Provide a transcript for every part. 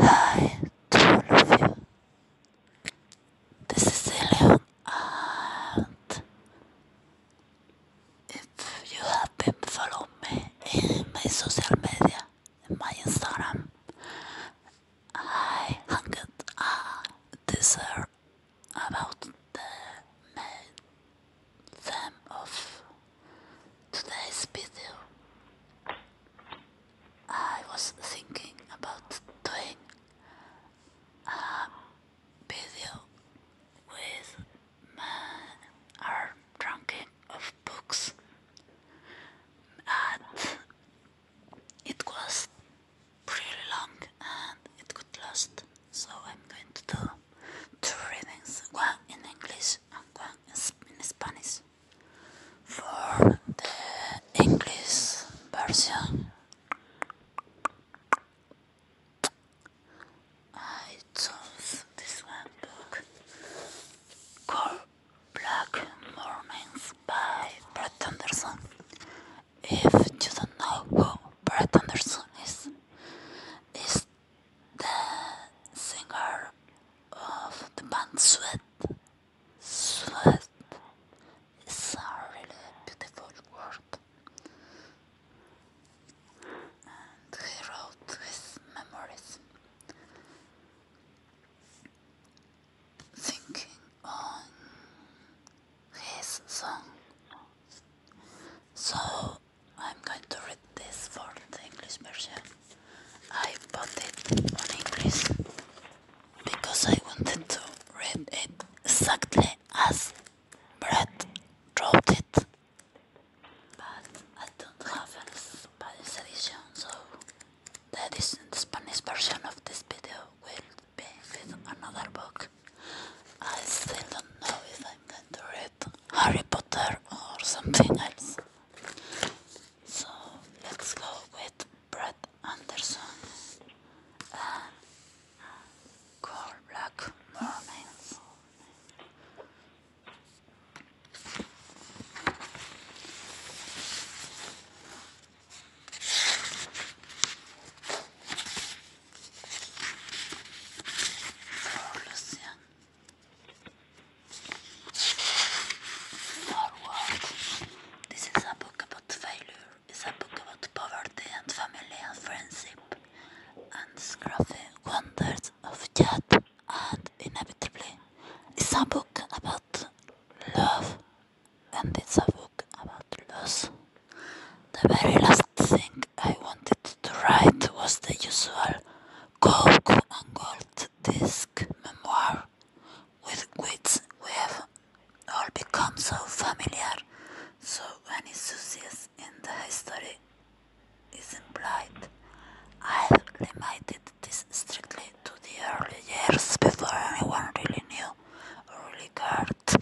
Hi do all of you. This is Elion and if you have been following me in my social media, my Instagram, I hanged a dessert about the main of Today's video I was thinking about doing a video with my our ranking of books and it was pretty long and it could last so I'm going to do two readings, one in English and one in Spanish for the English version. I chose this one book called Black Mornings by Brett Anderson. If you don't know who Brett Anderson is, it's the singer of the band Sweat. Sweat is a really beautiful word. And he wrote his memories. Thinking on his song. So I'm going to read this for the English version. I bought it on English because I wanted to read it exactly as Brett wrote it. But I don't have a Spanish edition, so the Spanish version of this video will be with another book. I still don't know if I'm going to read Harry Potter or something else. So let's go with Brett Anderson and Black Mornings. For Forward. This is a book about failure. It's a book about poverty and family and friendship. And scruffy wonders of death and inevitably. It's a book about love and it's a book about loss. The very last thing I wanted to write was the usual gold and gold disc memoir with which we have all become so familiar, so any success in the history is implied. I have limited this strictly to the early years before anyone really knew early really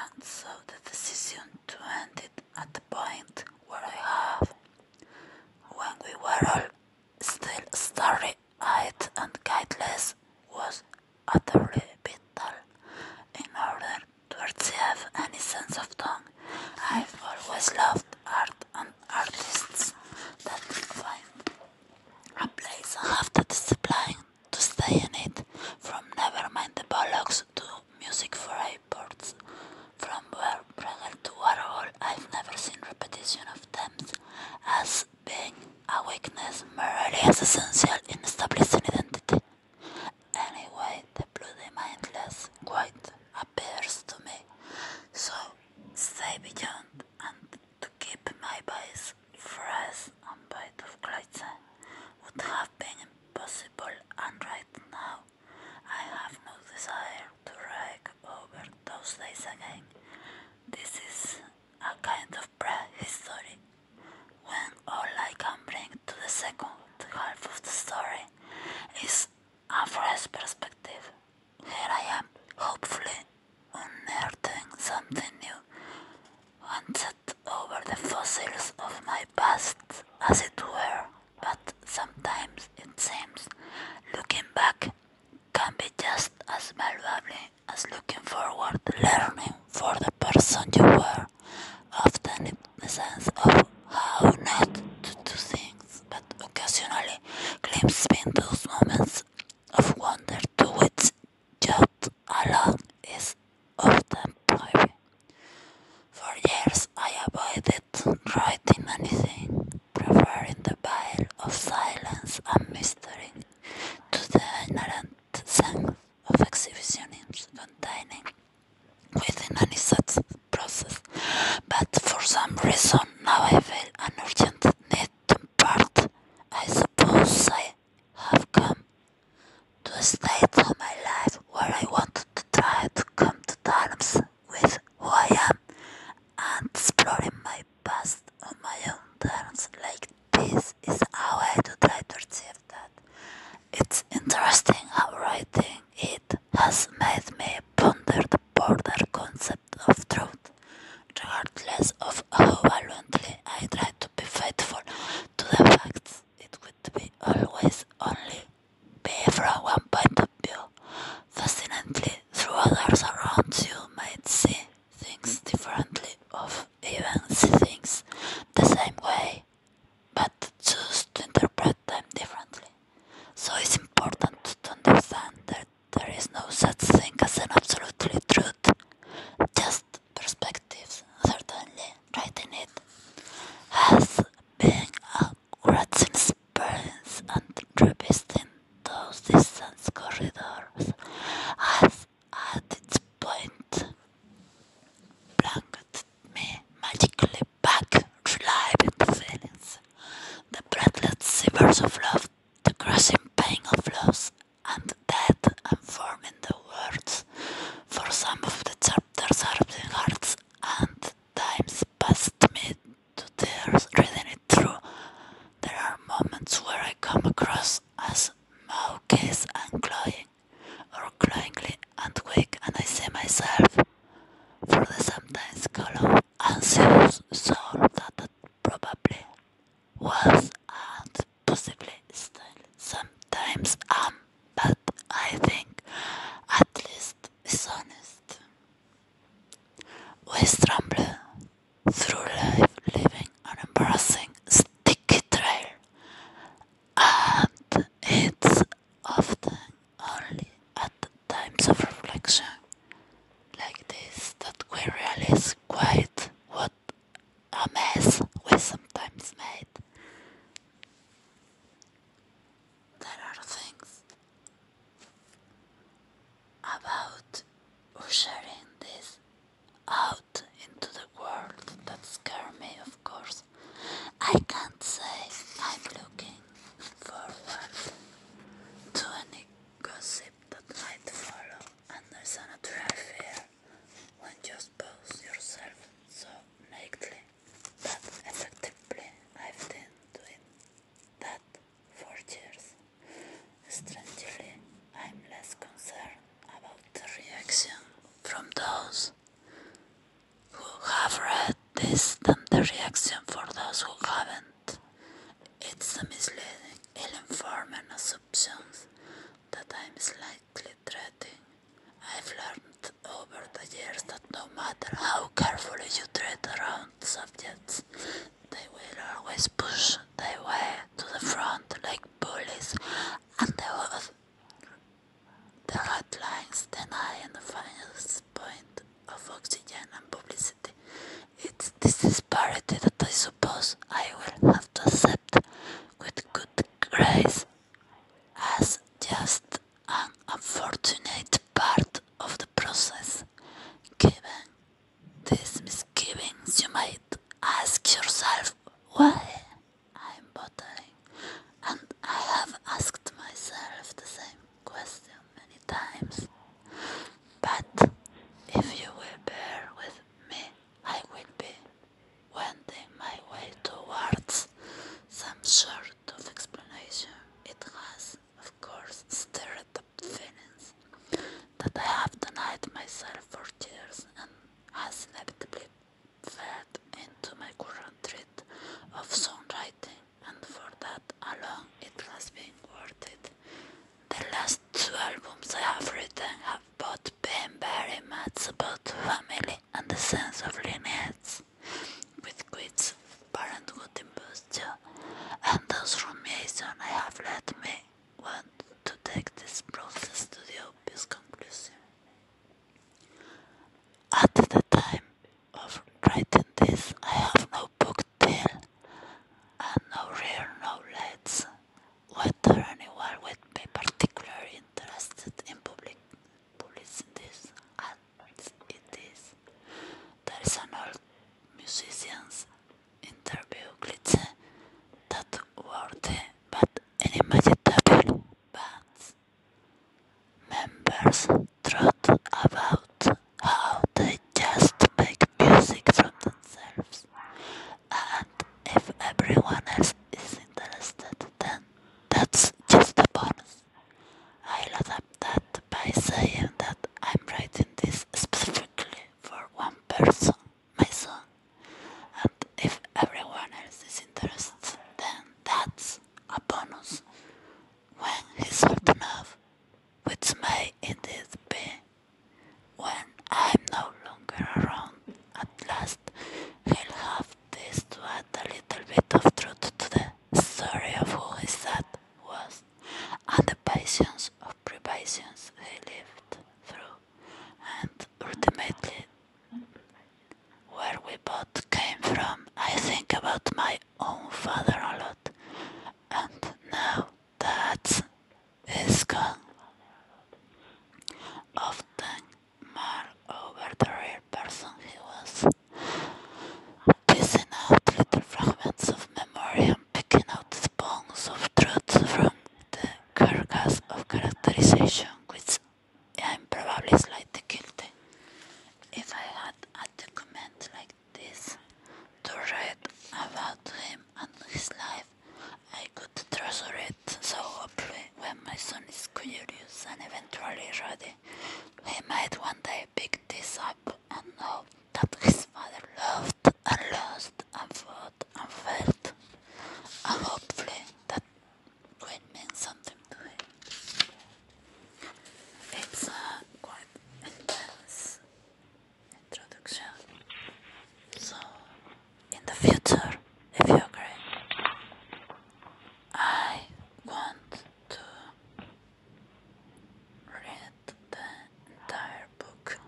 and so the decision to end it at the point where I have when we were all still starry-eyed and guideless was utterly vital in order to achieve any sense of tongue. I've always loved art and artists that find a place and have the discipline to stay in it, from never mind the bollocks to music for airports from Brunel to Warhol. I've never seen repetition of themes as being a weakness merely as essential in establishing identity. Anyway, the bloody mindless quite appears to me. So stay beyond and to keep my voice fresh and bite of Gleitze would have been impossible and right now I have no desire to rake over those days again. This is a kind of pre-history. when all I can bring to the second half of the story is a fresh perspective. Here I am, hopefully unearthing something new, and set over the fossils of my past, as it were but sometimes it seems looking back can be just as valuable as looking forward. Learning for the person you were often the sense of how not to do things, but occasionally glimpsing those moments of wonder to which just alone is often private. For years I avoided writing anything, preferring the veil of silence and mystery to the inherent sense of exhibitionism containing within any such process. But for some reason now I feel an urgent need to part. I suppose I have come to a state of my life where I want to to try to come to terms with who I am and exploring my past on my own terms like this is how I try to achieve that. It's interesting how writing it has made me ponder the border concept of truth, regardless of how valiantly I try to be faithful to the facts it would be always only be from one point of view. Fascinatingly, through others around you might see things differently or even see things the same way, but choose to interpret them differently. So it's important to understand that there is no such thing as an absolutely truth, just perspectives, certainly writing it has been a great experience and revising those distant corridors has at its point blanketed me magically back relieving feelings, the breathless shivers of love, the crushing pain of loss and death and forming the words for some of the after certain hearts and times past me to tears reading it through. There are moments where I come across as mawkish and cloying, or cloyingly and quick, and I say myself for the sometimes callow, anxious soul that, that probably was and possibly still sometimes am but I think at least is honest. We stumble through life living an embarrassing sticky trail, and it's often only at times of reflection like this that we realize quite what a mess we sometimes made there are things about ushering this out into the world that scare me, of course. I can't say I'm looking forward to any gossip that might follow, and there's a natural fear when you pose yourself so nakedly but effectively I've been doing that for years. Strangely, I'm less concerned about the reaction from those who have read this than the reaction for those who haven't. It's a misleading, ill-informed assumption that I'm slightly slightly threatening. I've learned over the years that no matter how carefully you tread around subjects, they will always push their way to the front like bullies, and there will the hotlines deny the final point of oxygen and publicity. It's this disparity that I suppose I will have to accept with good grace as just an unfortunate part of the process. Given these misgivings, you might ask yourself why I'm bothering, and I have asked myself the same question many times. But if you will bear with me, I will be Wending my way towards some sort of explanation, it has, of course, stirred up feelings that I have denied myself for years and has inevitably fed into my current treat of songwriting, and for that alone it has been worth it. The last two albums I have written have both been very much about family and the sense of limits, with quits parenthood imposture, and those transformation I have led me want to take this process to the obvious conclusion. At the time of writing this, I have no book deal and no real no knowledge whether anyone would be particularly interested in public publicity as it is. There is an old musician's interview glitch that worthy but inimaginable bands members talk about how they just make music from themselves and if everyone else is interested, then that's just a bonus. I load that by saying that I'm writing this specifically for one person, my son. And if everyone else is interested, then that's a bonus. When he's old enough, which may indeed be when I'm no longer around at last he'll have this to add a little bit of truth to the story of who his dad was and the patience of privations he lived through, and ultimately where we both came from. I think about my own father a lot, and now that is gone. Often more over the real person he was, teasing out little fragments of memory and picking out the of truth from the carcass of characterization, which I am probably slightly guilty. If I had a document like this to write about him and his life, I could treasure it, so hopefully when my son is curious and eventually ready, he might one day pick this up and know that his father loved and lost and fought and felt, and hopefully that will mean something to him. It's a quite introduction, so in the future, if you agree. I want to read the entire book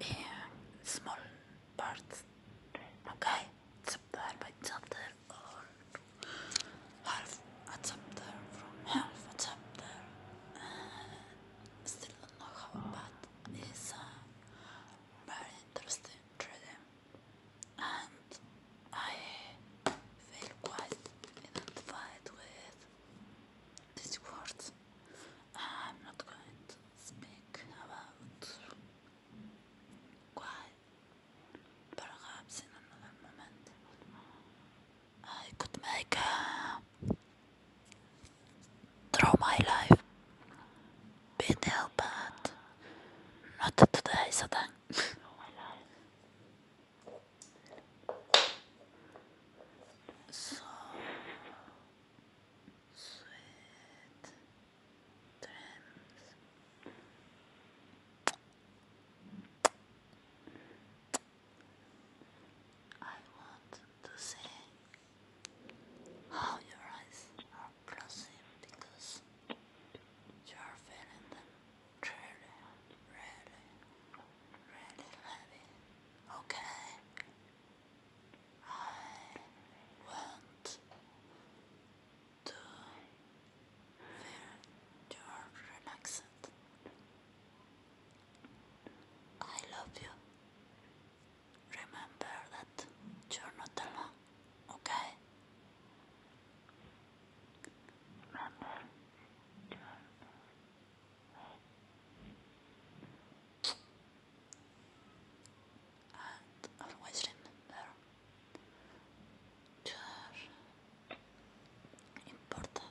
in small parts. Okay, chapter by chapter, or half a chapter half a chapter. still not know it's uh, very interesting and I feel quite identified with these words. I'm not going to speak about why perhaps in another moment I could make a through my life been ill, but not today, so thank So sweet dreams. I want to sing how your eyes are glossy because you are feeling them really, really, really heavy. Okay. I want to feel your relaxed. I love you. Remember that you're not alone, okay? Remember and always remember you're important.